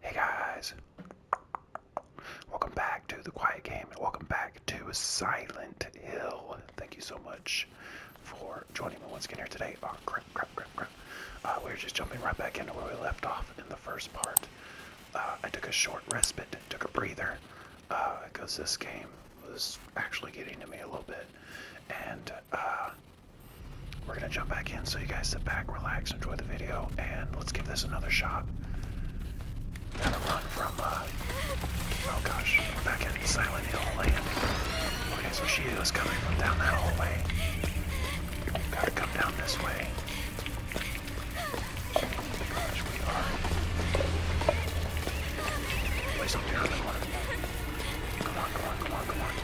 Hey guys, welcome back to the Quiet Game and welcome back to Silent Hill. Thank you so much for joining me once again here today. Ah, uh, we're just jumping right back into where we left off in the first part. Uh, I took a short respite, took a breather, because uh, this game was actually getting to me a little bit, and we're gonna jump back in, so you guys sit back, relax, enjoy the video, and let's give this another shot. Gotta run from, uh, oh gosh, back in Silent Hill Okay, so she is coming down that hallway. Gotta come down this way. Oh my gosh, we are. Please don't be hurt Come on, come on, come on, come on.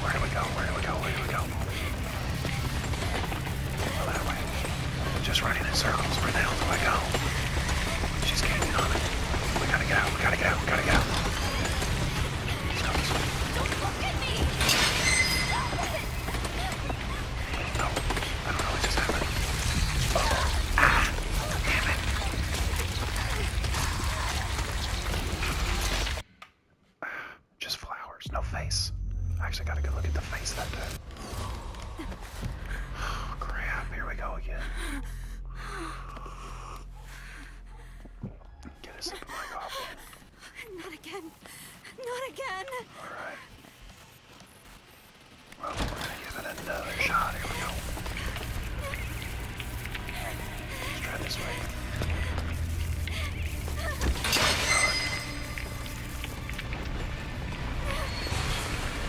Where do we go? Where do we go? Where do we go? Well, that way. Just running in circles. Where the hell do I go? She's gaining on it. We gotta get out. We gotta get out. We gotta get out. No. I don't know what just happened. Ah! Damn it. Just flowers, no face. I actually got a good look at the face that day. Oh, crap, here we go again. Not again. Not again. Alright. Well, we're gonna give it another shot. Here we go. Let's try this way.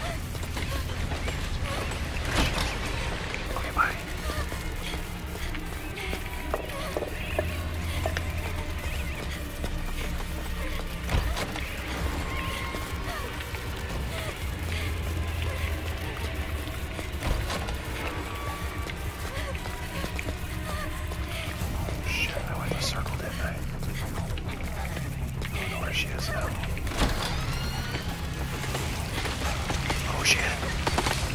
Run. Okay, bye. Shit, I went to circle, didn't I? I don't know where she is now. Oh shit.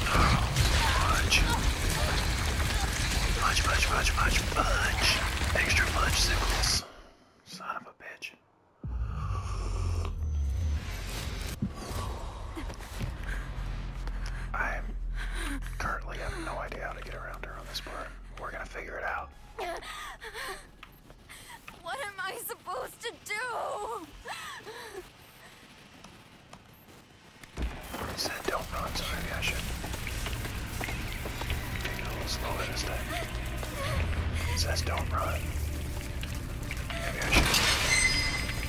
Oh, fudge. Fudge, fudge, fudge, fudge, fudge. Extra fudge sickles. Son of a bitch. I currently have no idea how to get around her on this part. We're gonna figure it out. What am I supposed to do? I said don't run, so maybe I should take a little slower this time. says don't run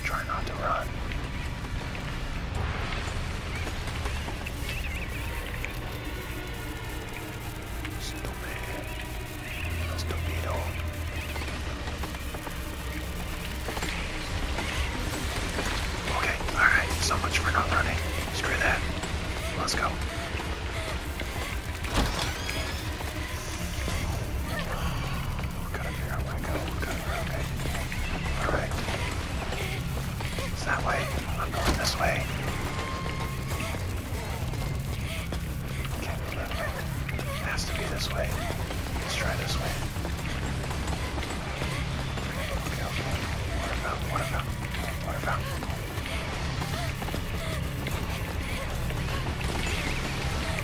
try not to run. Stupid. Stupido. Okay, alright, so much for not running. Screw that. Let's go. Gotta figure out where to go. Gotta, okay. Alright. It's that way. I'm going this way. Can't go that way. It has to be this way. Let's try this way. Okay, okay. Water fountain, water fountain, water fountain.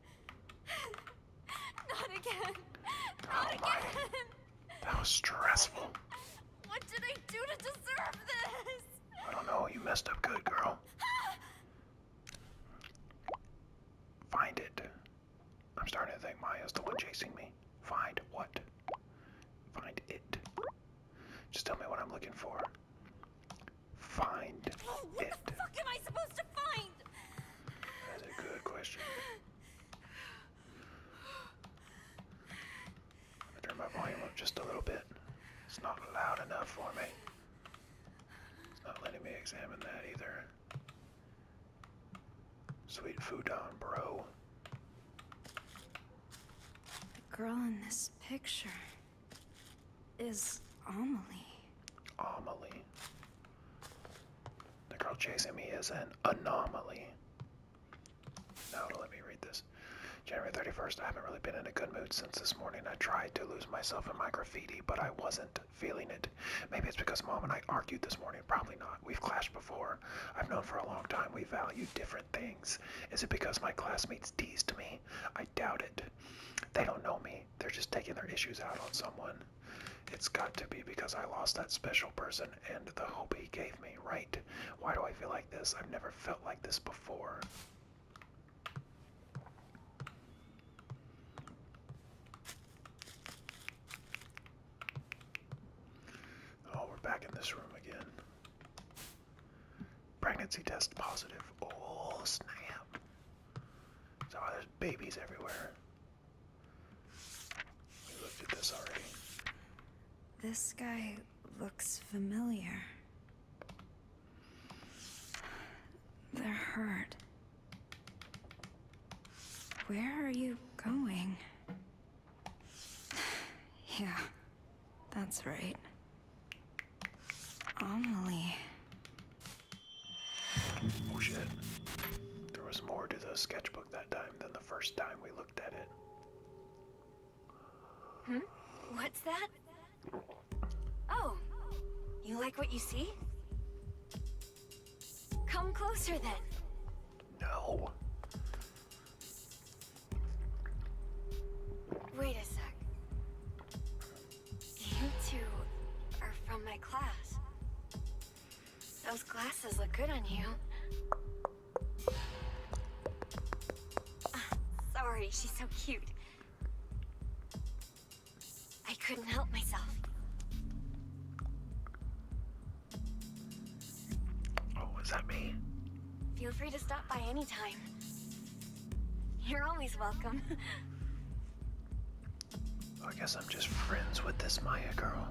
Not again. Not again. That was stressful. What did I do to deserve this? I don't know. You messed up good, girl. Find it. I'm starting to think Maya's the one chasing me. Find what? Find it. Just tell me what I'm looking for. Find oh, what it. the fuck am I supposed to find? That's a good question. I'm turn my volume up just a little bit. It's not loud enough for me. It's not letting me examine that either. Sweet futon, bro. The girl in this picture is Amelie? Amelie. The girl chasing me is an anomaly. Now let me read this. January 31st, I haven't really been in a good mood since this morning. I tried to lose myself in my graffiti, but I wasn't feeling it. Maybe it's because mom and I argued this morning. Probably not. We've clashed before. I've known for a long time we value different things. Is it because my classmates teased me? I doubt it. They don't know me they're just taking their issues out on someone. It's got to be because I lost that special person and the hope he gave me, right? Why do I feel like this? I've never felt like this before. Oh, we're back in this room again. Pregnancy test positive. Oh snap. So uh, there's babies everywhere. We looked at this already. This guy looks familiar. They're hurt. Where are you going? yeah, that's right. Amelie. Oh shit. There was more to the sketchbook that time than the first time we looked at it. Hmm? What's that? Oh, you like what you see? Come closer then. No. Wait a sec. You two are from my class. Those glasses look good on you. sorry, she's so cute. I couldn't help myself. Oh, is that me? Feel free to stop by anytime. You're always welcome. I guess I'm just friends with this Maya girl.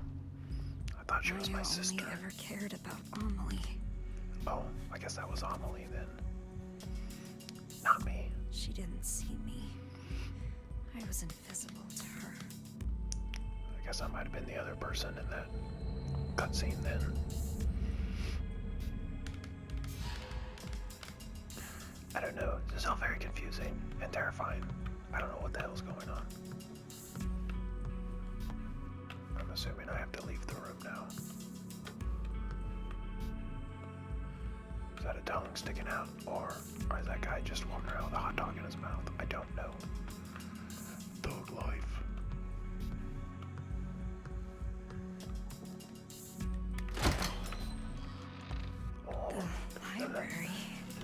I thought she was my sister. I never cared about Amelie. Oh, I guess that was Amelie then. Not me. She didn't see me. I was invisible to her. I guess I might have been the other person in that cutscene then. I don't know. It's all very confusing and terrifying. I don't know what the hell's going on. I'm assuming I have to leave the room now. Is that a tongue sticking out, or is that guy just walking around with a hot dog in his mouth? I don't know. Dog life. The library.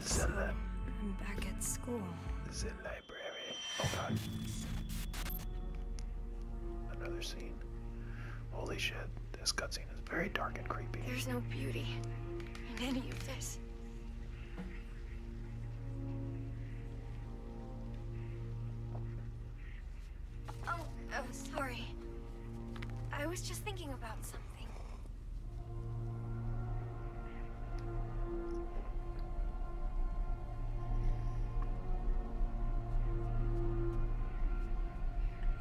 So I'm back at school. The library. Oh god. Another scene. Holy shit, this cutscene is very dark and creepy. There's no beauty in any of this. Oh, uh, sorry. I was just thinking about something.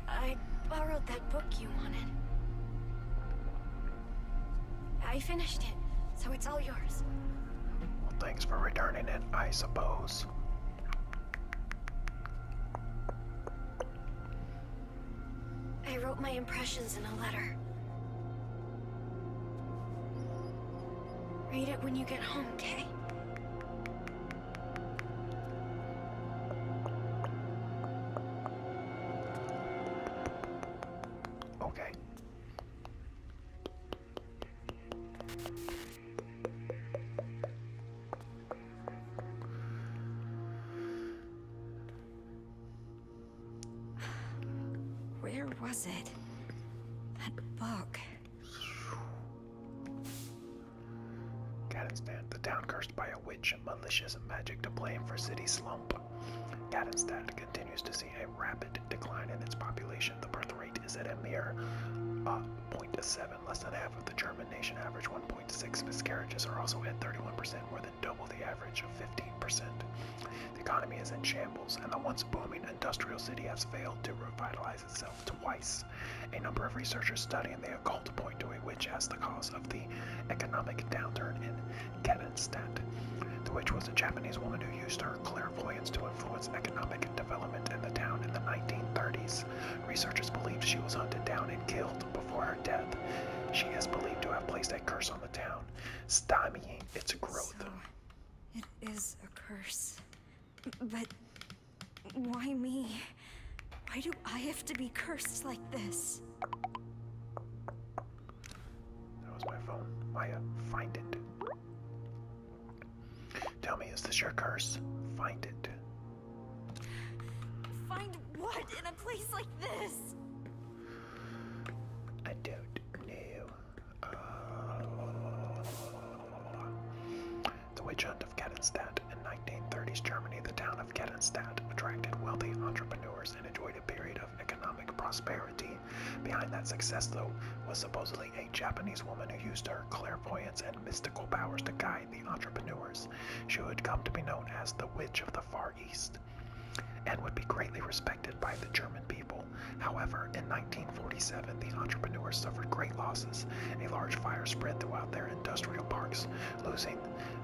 I borrowed that book you wanted. I finished it, so it's all yours. Well, thanks for returning it, I suppose. I wrote my impressions in a letter. Read it when you get home, okay? Okay. Where was it? That book. Cadenstad, the town cursed by a witch, malicious magic to blame for city slump. Cadenstad continues to see a rapid decline in its population. The birth rate is at a mere uh, 0.7 less than half of the German nation average 1.6 miscarriages are also at 31%, more than double the average of 15%. The economy is in shambles, and the once booming industrial city has failed to revitalize itself twice. A number of researchers studying the occult point to a witch as the cause of the economic downturn in Kedenstadt. The witch was a Japanese woman who used her clairvoyance to influence economic development in the town in the 1930s. Researchers believe she was hunted down and killed before her death. She is believed to have placed a curse on the town, stymieing its growth. it is a curse. But why me? Why do I have to be cursed like this? That was my phone. Maya, find it. Tell me, is this your curse? Find it. Find what in a place like this? I don't know. Uh, the witch hunt of Kettenstadt. In 1930s Germany, the town of Kettenstadt attracted wealthy entrepreneurs and enjoyed a period of economic prosperity. Behind that success, though, was supposedly a Japanese woman who used her clairvoyance and mystical powers to guide the entrepreneurs. She would come to be known as the Witch of the Far East and would be greatly respected by the German people. However, in 1947, the entrepreneurs suffered great losses. A large fire spread throughout their industrial parks, losing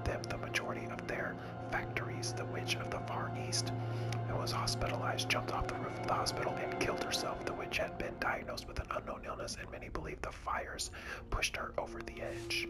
them the majority of their factories. The Witch of the Far East, who was hospitalized, jumped off the roof of the hospital and killed herself. The witch had been diagnosed with an unknown illness, and many believed the fires pushed her over the edge.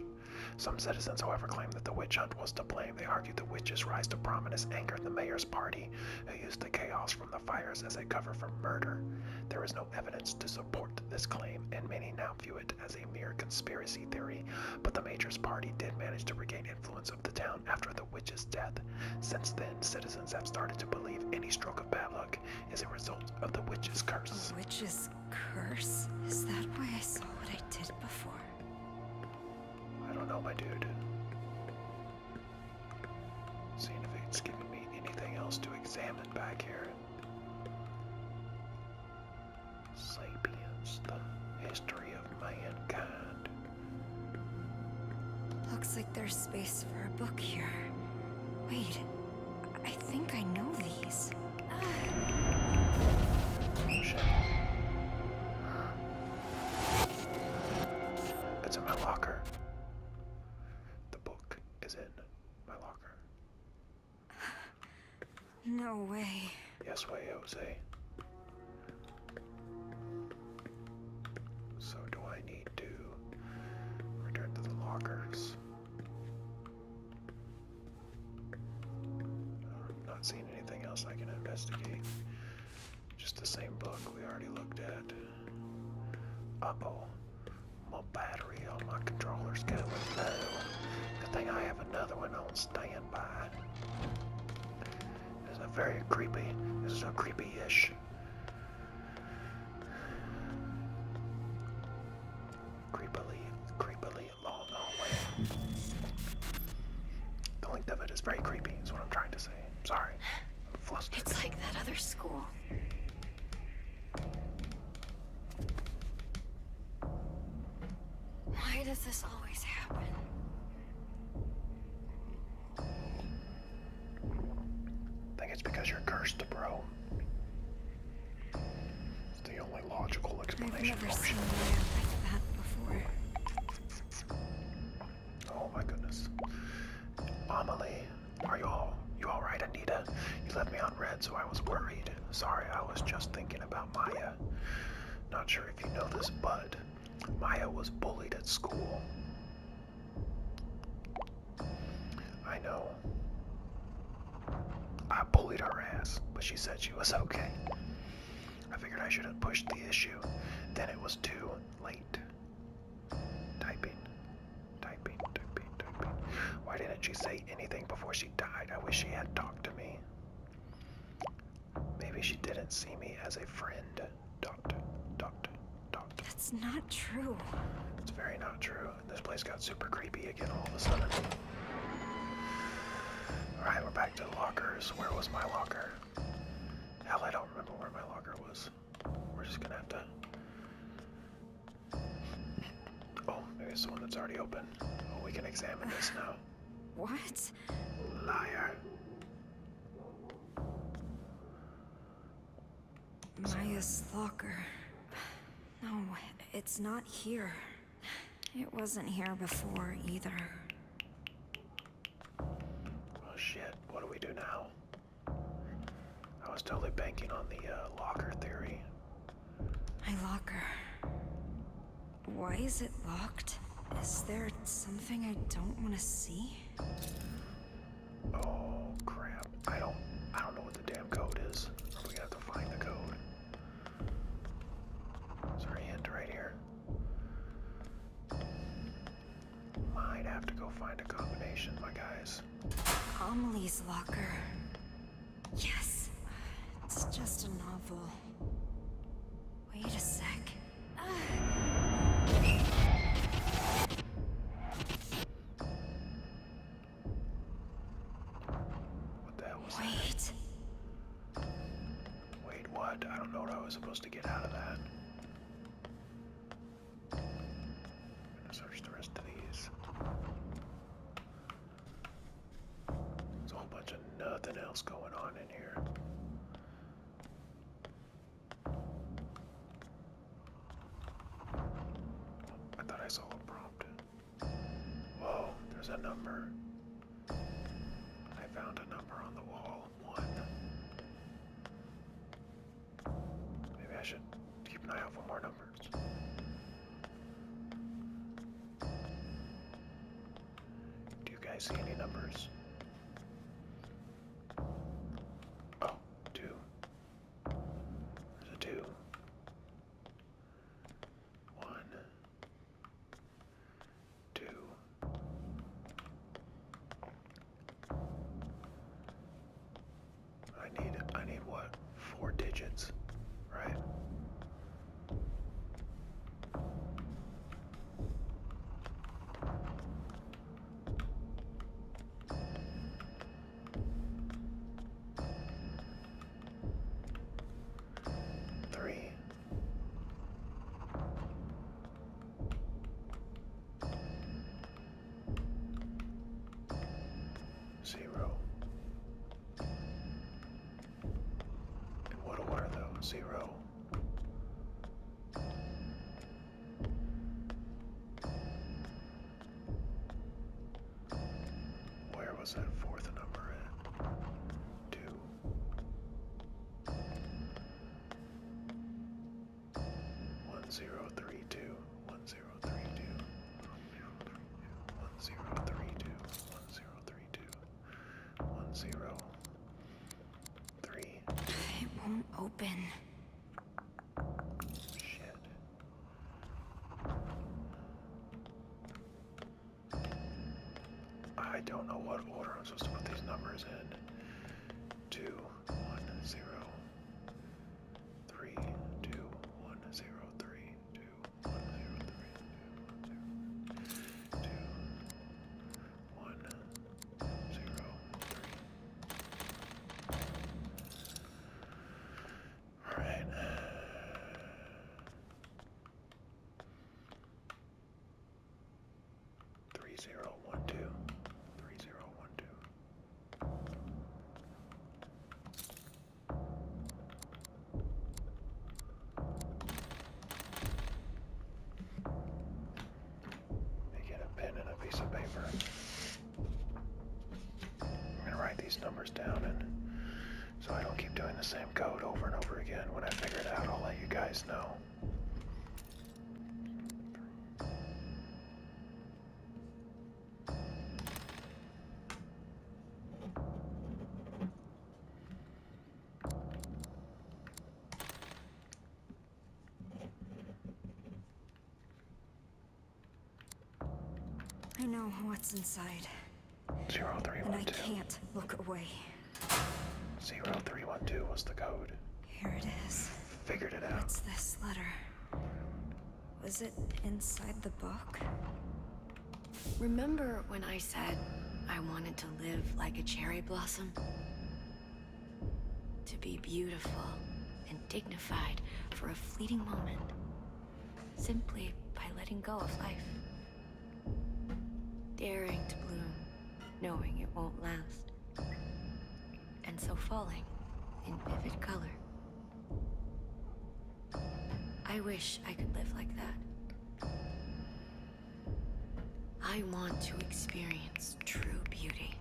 Some citizens, however, claim that the witch hunt was to blame. They argue the witch's rise to prominence angered the mayor's party, who used the chaos from the fires as a cover for murder. There is no evidence to support this claim, and many now view it as a mere conspiracy theory, but the mayor's party did manage to regain influence of the town after the witch's death. Since then, citizens have started to believe any stroke of bad luck is a result of the witch's curse. The curse? Is that why I saw what I did before? I don't know, my dude. Seeing if it's giving me anything else to examine back here. Sapiens, the history of mankind. Looks like there's space for a book here. Wait. I think I know these. It's in my locker. The book is in my locker. No way. Yes way, Jose. So do I need to return to the lockers? not seeing anything else I can investigate. Just the same book we already looked at. Uh-oh. My battery on my controller's going low. Good thing I have another one on standby. This is a very creepy. This is a creepy-ish creepily, creepily along the hallway. The length of it is very creepy, is what I'm trying to say. sorry. I'm flustered. It's like that other school. Why does this always happen? I think it's because you're cursed, bro the only logical explanation I've never option. Seen like that oh my goodness. Amalie, are you all you alright, Anita? You left me on red, so I was worried. Sorry, I was just thinking about Maya. Not sure if you know this, but Maya was bullied at school. I know. I bullied her ass, but she said she was okay. I figured I should have pushed the issue. Then it was too late. Typing, typing, typing, typing. Why didn't she say anything before she died? I wish she had talked to me. Maybe she didn't see me as a friend. Dot, dot, dot. That's not true. It's very not true this place got super creepy again all of a sudden. Alright, we're back to lockers. Where was my locker? Hell, I don't remember where my locker was. We're just gonna have to. Oh, maybe it's the one that's already open. Oh, we can examine this now. What? Liar. Maya's locker. No, it's not here. It wasn't here before either. Oh shit, what do we do now? I was totally banking on the uh, locker theory. My locker. Why is it locked? Is there something I don't want to see? Oh crap. I don't I don't know the damn code is. we have to find the code. Is there a right here? Might have to go find a combination, my guys. Amelie's locker. Yes. It's just a novel. Wait a sec. Ah. Wait. Wait, what? I don't know what I was supposed to get out of that. gonna search the rest of these. There's a whole bunch of nothing else going on in here. I thought I saw a prompt. Whoa, there's a number. I found a number on the wall. One. Maybe I should keep an eye out for more numbers. Do you guys see any numbers? Oh, two. There's a two. One, two, I need, I need what? Four digits, right? Three. Zero. In what order, though? Zero. Where was that fourth number at? Two. One zero three two. One zero three two. One zero three two. One zero three two. One zero three. It won't open. Shit. I don't know what order I'm supposed to put these numbers in. Two, one, zero, three, two, one, zero, three, two, one, zero, three, two, one, zero, two, one, zero, three. All right. Three zero one two. Three zero one two. They get a pen and a piece of paper. I'm gonna write these numbers down and so I don't keep doing the same code over and over again. When I figure it out, I'll let you guys know. I know what's inside. Zero three one and I can't look away. Zero three one two was the code. Here it is. Figured it out. What's this letter? Was it inside the book? Remember when I said I wanted to live like a cherry blossom? To be beautiful and dignified for a fleeting moment simply by letting go of life. Daring to bloom, knowing it won't last. And so falling in vivid color. I wish I could live like that. I want to experience true beauty,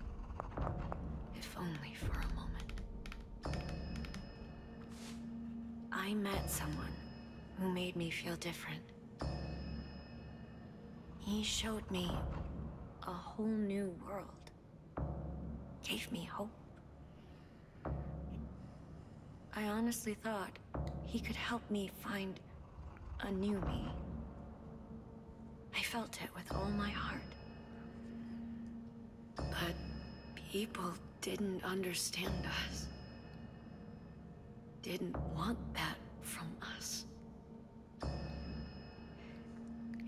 if only for a moment. I met someone who made me feel different. He showed me a whole new world. Gave me hope. I honestly thought he could help me find a new me. I felt it with all my heart. But people didn't understand us. Didn't want that from us.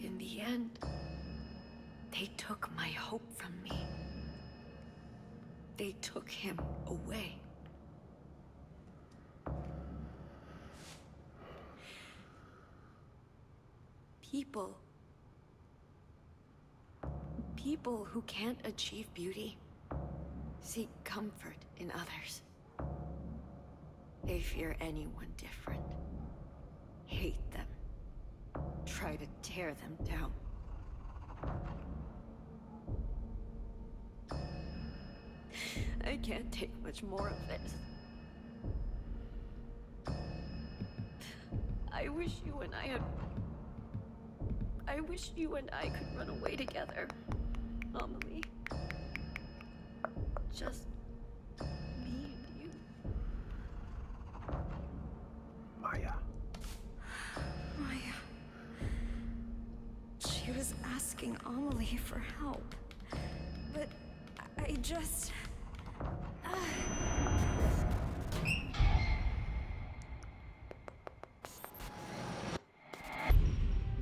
In the end, they took my hope from me. They took him away. People People who can't achieve beauty seek comfort in others. They fear anyone different. Hate them. Try to tear them down. I can't take much more of this. I wish you and I had... I wish you and I could run away together, Amalie. Just me and you. Maya. Maya. She was asking Amalie for help, but I just...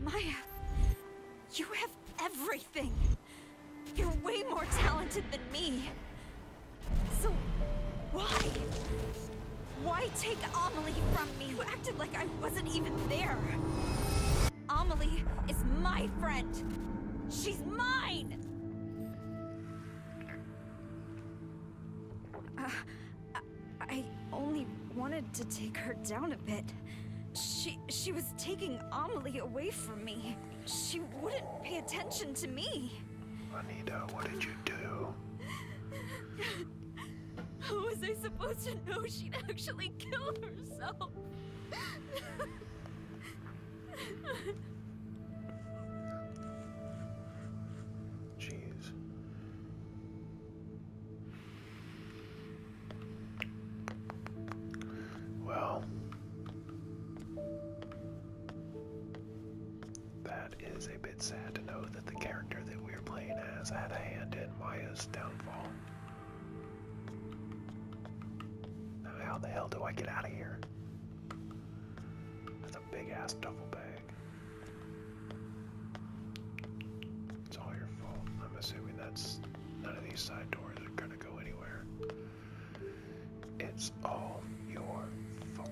Maya, you have everything. You're way more talented than me. So, why? Why take Amelie from me, who acted like I wasn't even there? Amelie is my friend. She's mine! Uh, I only wanted to take her down a bit. She she was taking Amelie away from me. She wouldn't pay attention to me. Anita, what did you do? How was I supposed to know she'd actually kill herself? Jeez. Well, that is a bit sad to know that the character that we are playing as had a hand in Maya's downfall. Now, how the hell do I get out of here? big ass duffel bag. It's all your fault. I'm assuming that's none of these side doors are gonna go anywhere. It's all your fault.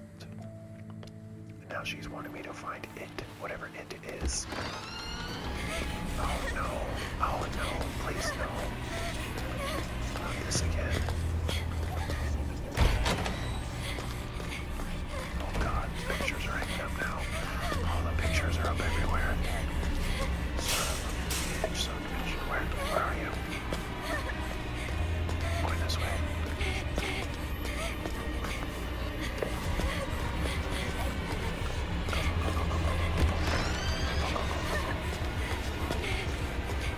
now she's wanting me to find it, whatever it is. Oh no, oh no, please no. Not this again. Oh god, pictures are up now. All the pictures are up everywhere. Where, are you? Going this way.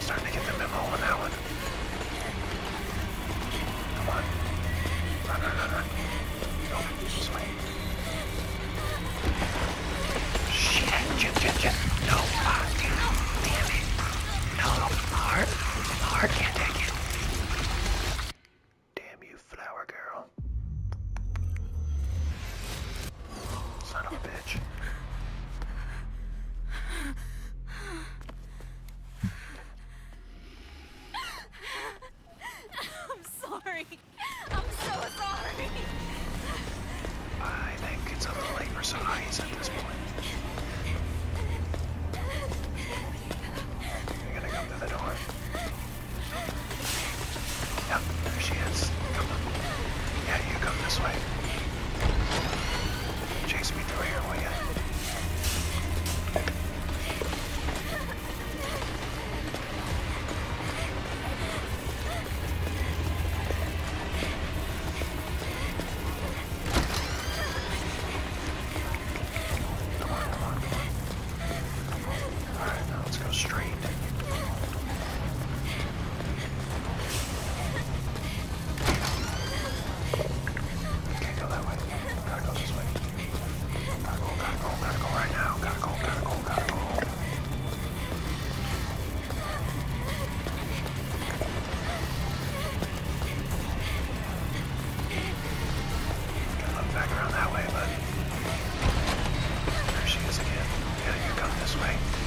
Starting to get the memo on that one. Come on. No, no, no, no. No, this Shit, No, damn, it. No, the heart, can't take it. Damn you, flower girl. Son of a bitch. I'm sorry. I'm so sorry. I think it's a little late for Sahai's at this point. You gotta come to the door. Yep, there she is. Come on. Yeah, you come this way. Chase me through here, will you? Come on, come on, come on. All right, now let's go straight. Can't go that way. Gotta go this way. Gotta go, gotta go, gotta go right now. Gotta go, gotta go, gotta go. Gotta look back around that way, but there she is again. Yeah, you come this way.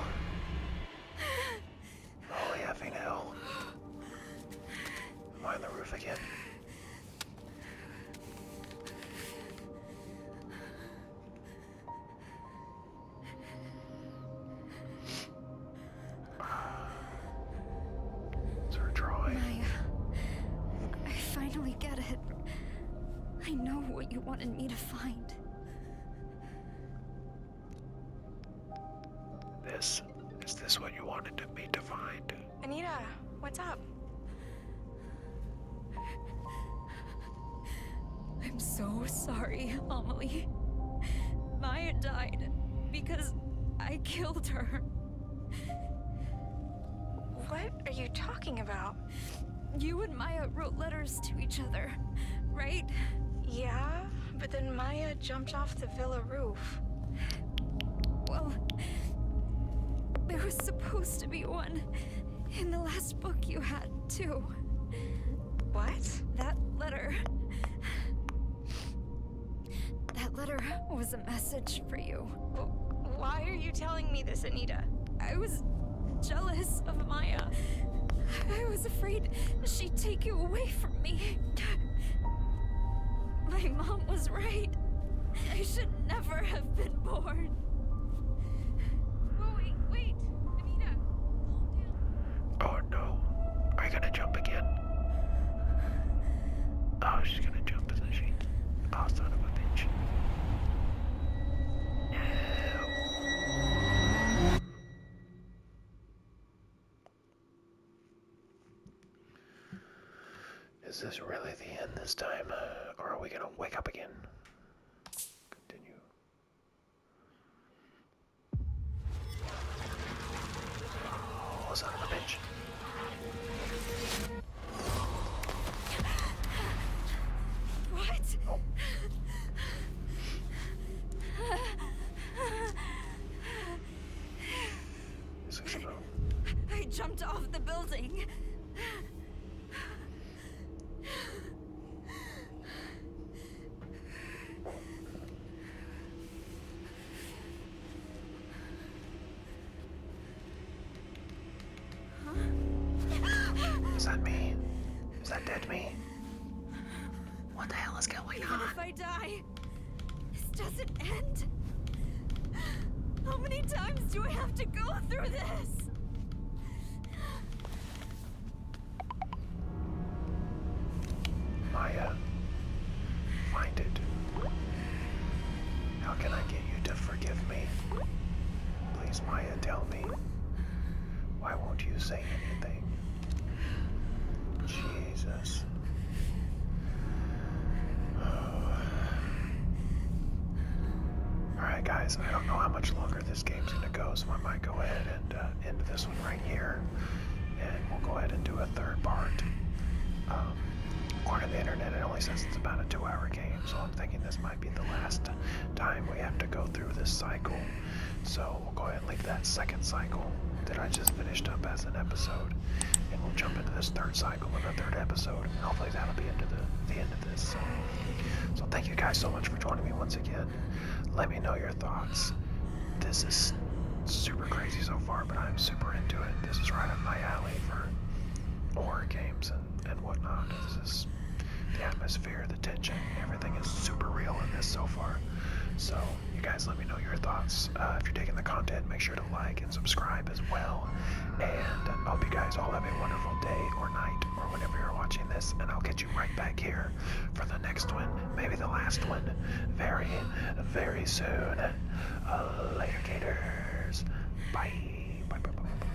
Holy effing hell. Am on the roof again? Is there drawing? Maya, I finally get it. I know what you wanted me to find. This? Is this what you wanted me to find? Anita, what's up? I'm so sorry, Amelie. Maya died because I killed her. What are you talking about? You and Maya wrote letters to each other, right? Yeah, but then Maya jumped off the villa roof. Well, there was supposed to be one in the last book you had, too. What? That letter. That letter was a message for you. Why are you telling me this, Anita? I was jealous of Maya. I was afraid she'd take you away from me. My mom was right. I should never have been born. Oh, wait, wait. Anita, calm down. Oh, no. Are you gonna jump again? Oh, she's gonna jump, isn't she? Oh, son of a bitch. No. Is this really the end this time? Or are we gonna wake up again? Continue. Oh, son of a bitch. What? Oh. I jumped off the building. Is that me? Is that dead me? What the hell is going on? if I die, this doesn't end. How many times do I have to go through this? Maya, find it. How can I get you to forgive me? Please, Maya, tell me. Why won't you say anything? Jesus. Alright, guys, I don't know how much longer this game's gonna go, so I might go ahead and uh, end this one right here. And we'll go ahead and do a third part. according um, to the internet, it only says it's about a two hour game, so I'm thinking this might might be the last time we have to go through this cycle. So we'll go ahead and leave that second cycle that I just finished up as an episode. And we'll jump into this third cycle with a third episode. hopefully that'll be into the, end of this. So, thank you guys so much for joining me once again. Let me know your thoughts. This is super crazy so far, but I'm super into it. This is right up my alley for horror games and whatnot. This is the atmosphere atmosphere, the tension, everything is super real in this so far. So you guys let me know your thoughts. Uh, if you're taking the content, make sure to like and subscribe as well. And I hope you guys all have a wonderful day or night or whenever you're watching this. And I'll get you right back here for the next one, maybe the last one, very, very soon. Uh, later, Gators. Bye. Bye, bye, bye, bye.